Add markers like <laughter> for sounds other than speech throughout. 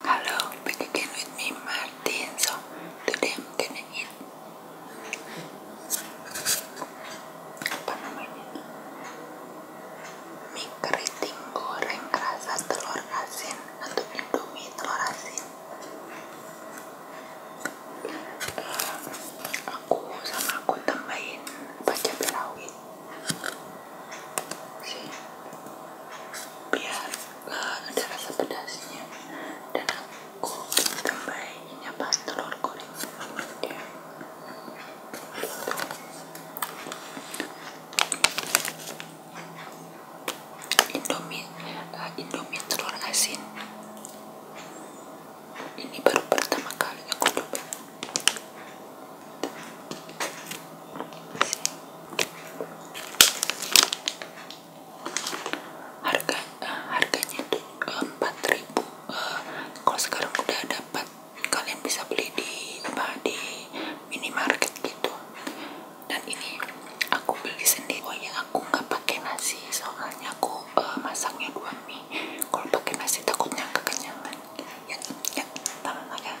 Hello, back again with me, Martin. So today I'm gonna eat apa namanya mie keriting goreng rasa telur asin atau indomie telur asin. Uh, sih biar eh, ada rasa pedasnya dan aku tambahin apa telur goreng iya. Indomie, eh, Indomie telur asin. Ini baru pertama kali aku coba harga eh, harganya itu eh, empat ribu uh, kalau sekarang udah dapat kalian bisa beli di apa di minimarket gitu dan ini aku beli sendiri oh ya aku nggak pakai nasi soalnya aku uh, masaknya dua mie kalau pakai nasi takutnya kekenyangan ya ya tangan agak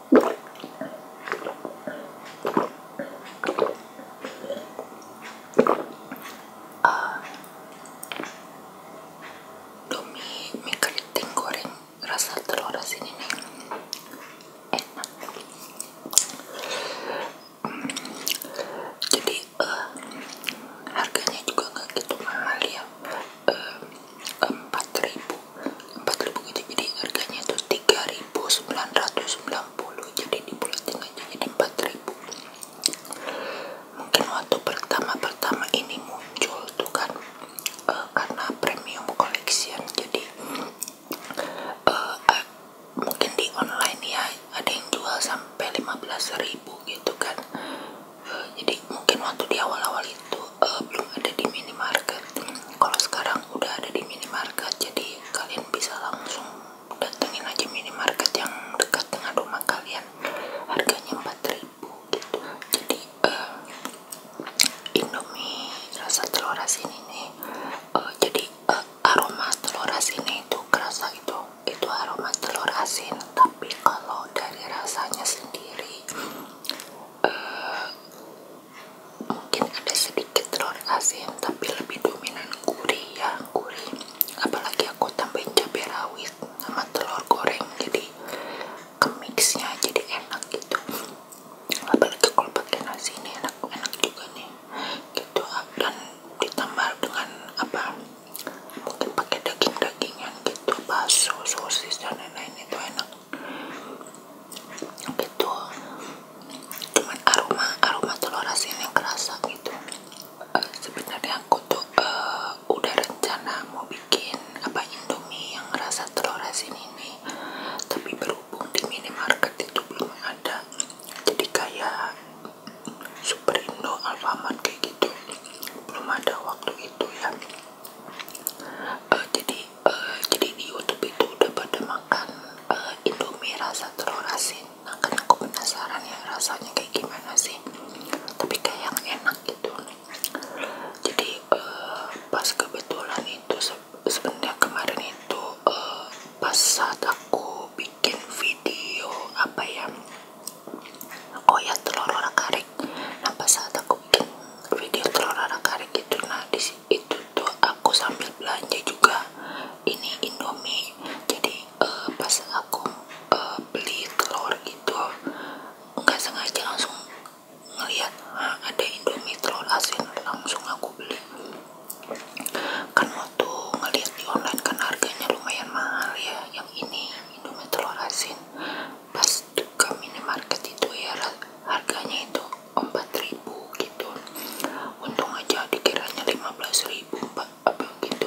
uh, eh, Demi goreng rasa telur asin enak hmm, jadi eh, harganya juga nggak gitu mahal ya eh, 4000 4000 gitu jadi harganya itu 3990 jadi dibulatin aja jadi 4000 mungkin waktu pertama-pertama ini muncul tuh kan eh, karena premium collection jadi eh, eh, mungkin di online ya ada yang jual sampai 15.000 gitu kan Eh, jadi mungkin waktu di awal-awal itu eh, belum ada di minimarket kalau sekarang udah ada di minimarket jadi kalian bisa langsung datengin aja minimarket yang dekat dengan rumah kalian harganya 4000 gitu jadi eh, indomie rasa telur asin ini jadi aroma telur asin itu kerasa itu itu aroma telur asin tapi kalau dari rasanya sendiri Eh, mungkin ada sedikit telur asin tapi lebih dominan gurih ya gurih apalagi aku tambahin cabai rawit sama telur goreng jadi ke mixnya jadi enak gitu apalagi kalau pakai nasi ini enak enak juga nih gitu ah, dan ditambah dengan apa mungkin pakai daging daging yang gitu baso sosis dan lain-lain itu enak gitu cuman aroma aroma telur asin yang kerasa gitu eh, sebenarnya aku tuh eh, udah rencana mau bikin apa indomie yang rasa telur asin ini tapi berhubung di minimarket itu belum ada jadi kayak super indo alfamart kayak gitu belum ada waktu itu ya eh, jadi eh, jadi di YouTube itu udah pada makan uh, Indomie rasa telur asin nah kan aku penasaran ya rasanya kayak gimana sih tapi kayak yang enak gitu jadi pas kebetulan itu se kemarin itu pas saat aku bikin video apa ya oh ya telur orang karik nah pas saat aku bikin video telur orang karik itu nah disitu tuh aku sambil belanja juga ini indomie jadi eh, pas aku eh, beli telur itu nggak sengaja langsung ngeliat ah, ada indomie telur asin langsung aku beli kan waktu ngeliat di online kan harganya lumayan mahal ya yang ini Indomie telur asin pas ke minimarket itu ya harganya itu empat ribu gitu untung aja dikiranya lima belas ribu, apa gitu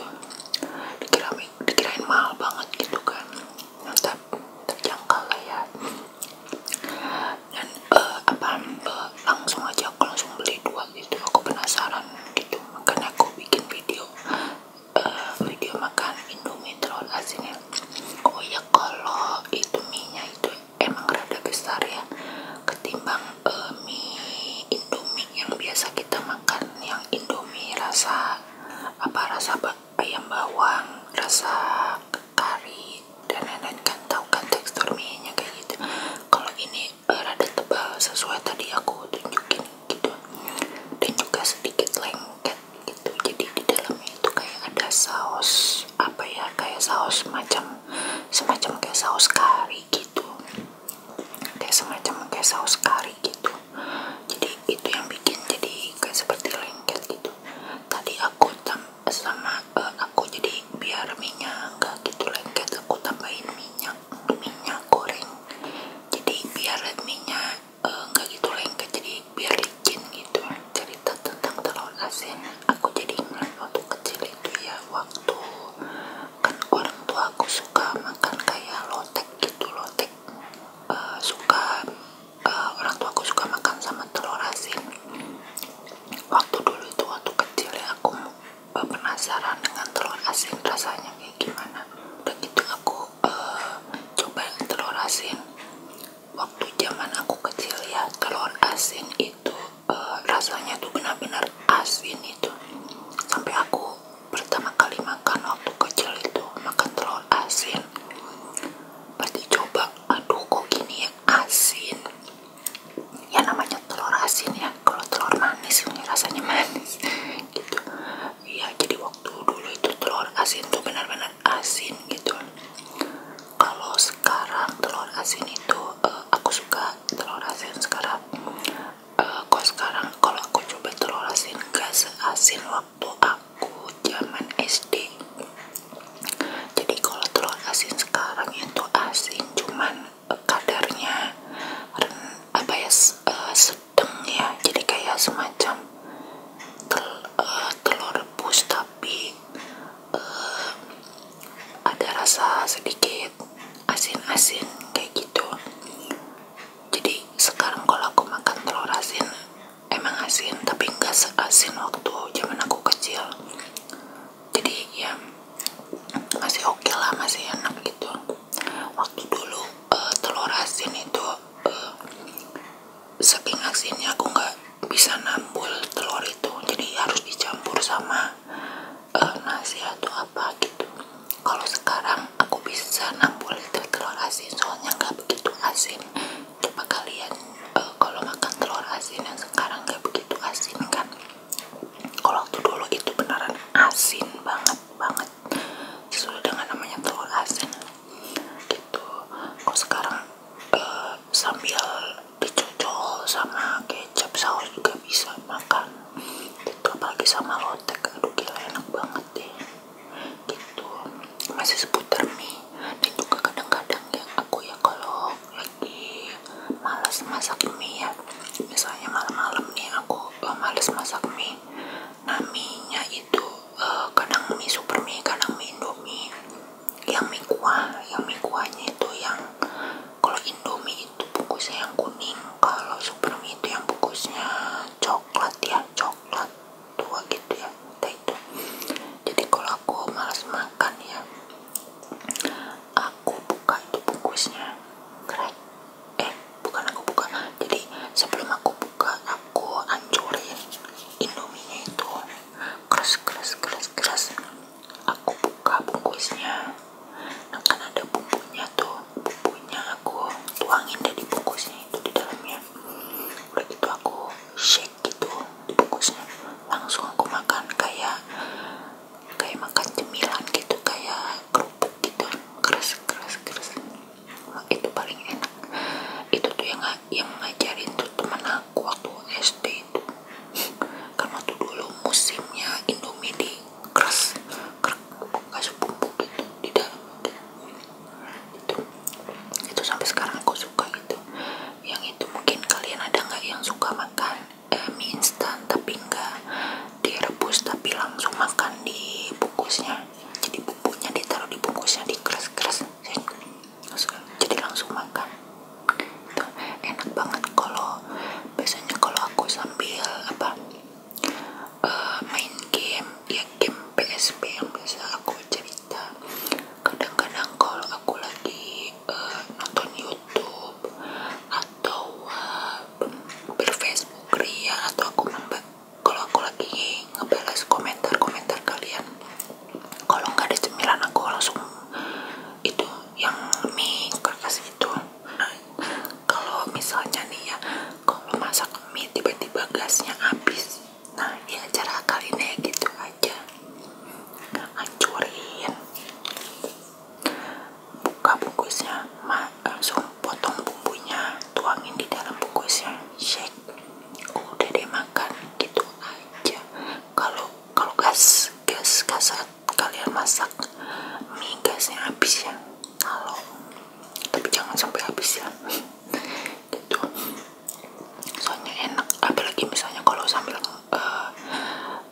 dikira dikirain mahal banget gitu kan tetap terjangkau lah ya dan eh, apa eh, langsung aja aku langsung beli dua gitu aku penasaran gitu makanya aku bikin video uh, eh, video makan indomie telur asinnya oh ya kalau itu mie-nya itu emang rada besar ya ketimbang uh, mie indomie yang biasa kita makan yang indomie rasa apa rasa ayam bawang rasa kari dan lain-lain kan tahu kan tekstur mie-nya kayak gitu kalau ini uh, rada tebal sesuai tadi aku tunjukin gitu dan juga sedikit lengket gitu jadi di dalamnya itu kayak ada saus apa ya kayak saus semacam semacam kayak saus kari gitu kayak semacam kayak saus kari gitu jadi itu yang bikin jadi kayak seperti lengket gitu tadi aku sama uh, aku jadi biar minyak nggak gitu lengket aku tambahin minyak minyak goreng jadi biar minyak enggak eh, gitu lengket jadi biar licin gitu cerita tentang telur asin aku jadi ingat waktu kecil itu ya waktu kan orang tua aku suka makan kayak lotek gitu lotek uh, suka uh, orang tua aku suka makan sama telur asin waktu dulu itu waktu kecil ya aku uh, penasaran dengan telur asin rasanya kayak gimana udah gitu aku uh, eh, coba telur asin waktu zaman aku kecil ya telur asin itu eh, rasanya tuh benar-benar asin itu sampai aku pertama kali makan waktu kecil itu makan telur asin berarti coba aduh kok gini ya asin ya namanya telur asin ya kalau telur manis ini rasanya manis gitu ya jadi waktu dulu itu telur asin tuh benar-benar asin gitu kalau sekarang telur asin itu eh, aku suka telur asin sekarang eh, kok sekarang kalau aku coba telur asin gak seasin waktu aku zaman SD jadi kalau telur asin sekarang itu asin cuman Eh, kadarnya apa ya eh, sedang ya jadi kayak semacam tel, uh, telur rebus tapi uh, ada rasa sedikit asin-asin kayak gitu jadi sekarang kalau aku makan telur asin emang asin tapi nggak asin waktu zaman aku kecil jadi ya masih oke lah masih enak gitu waktu dulu eh, telur asin itu uh, saking asinnya aku nggak bisa nambul telur itu jadi harus dicampur sama uh, nasi atau apa gitu kalau sekarang aku bisa nambul telur asin soalnya nggak begitu asin coba kalian uh, kalau makan telur asin yang sekarang nggak begitu asin kan kalau waktu dulu itu beneran asin banget banget sesuai dengan namanya telur asin gitu kok sekarang ke eh, sambil dicocol sama kecap saus juga bisa makan gitu apalagi sama lotek aduh gila enak banget deh gitu masih seputar mie dan juga kadang-kadang ya aku ya kalau lagi males masak mie ya misalnya malam-malam nih aku uh, males masak mie naminya itu uh, kadang mie super mie kadang mie indomie yang mie kuah yang mie kuahnya itu yang kalau indomie itu bungkusnya yang kuning kalau super mie itu yang bungkusnya coklat ya coklat tua gitu ya kita itu jadi kalau aku malas makan ya aku buka itu bungkusnya eh bukan aku buka jadi sebelum aku buka aku hancurin indominya itu keras keras keras keras aku buka bungkusnya nah kan ada bumbunya tuh bumbunya aku tuangin dari bungkusnya itu di dalamnya udah itu aku shake gitu di bungkusnya langsung aku makan kayak kayak makan cemilan gitu kayak kerupuk gitu keras keras keras itu paling enak itu tuh yang yang ngajarin tuh temen aku waktu SD itu karena tuh dulu musimnya Indomie di keras keras kasih bumbu gitu di dalam gitu. itu sampai sekarang aku suka itu yang itu mungkin kalian ada nggak yang suka makan eh, mie instan tapi enggak direbus tapi langsung makan di bungkusnya jadi bumbunya ditaruh di bungkusnya dikeras-keras jadi langsung makan enak banget kalau biasanya kalau aku sambil apa eh, main game ya game PSP yang biasa aku cerita kadang-kadang kalau aku lagi uh, nonton YouTube YouTube atau uh, berfacebook ria atau aku kalau aku lagi ngebalas komentar-komentar kalian kalau nggak ada cemilan aku langsung itu yang mie kertas itu kalau misalnya nih ya kalau masak mie tiba-tiba gasnya habis nah ya cara kali ini gitu aja hancurin buka bungkusnya mak langsung potong bumbunya tuangin di dalam bungkusnya shake udah deh makan gitu aja kalau kalau gas gas gas kalian masak mie gasnya habis ya kalau tapi jangan sampai habis ya <laughs> gitu soalnya enak apalagi misalnya kalau sambil uh,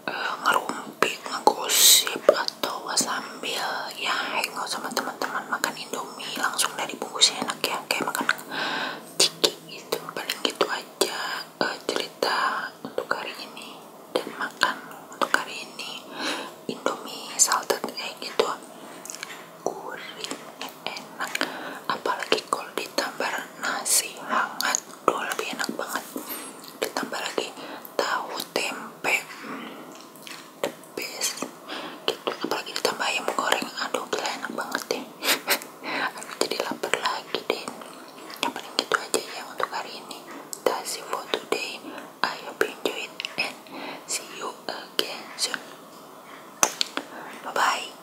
uh, ngerumpi ngegosip atau sambil ya hangout sama teman-teman makan indomie langsung dari bungkusnya enak ya kayak makan ciki gitu paling gitu aja eh, cerita untuk hari ini dan makan untuk hari ini indomie salted egg gitu gurih enak apalagi kalau ditambah nasi hangat duh lebih enak banget ditambah lagi tahu tempe the best gitu apalagi ditambah ayam goreng aduh gila enak banget deh <laughs> jadi lapar lagi deh yang paling gitu aja ya untuk hari ini that's it for today I hope and see you again soon bye bye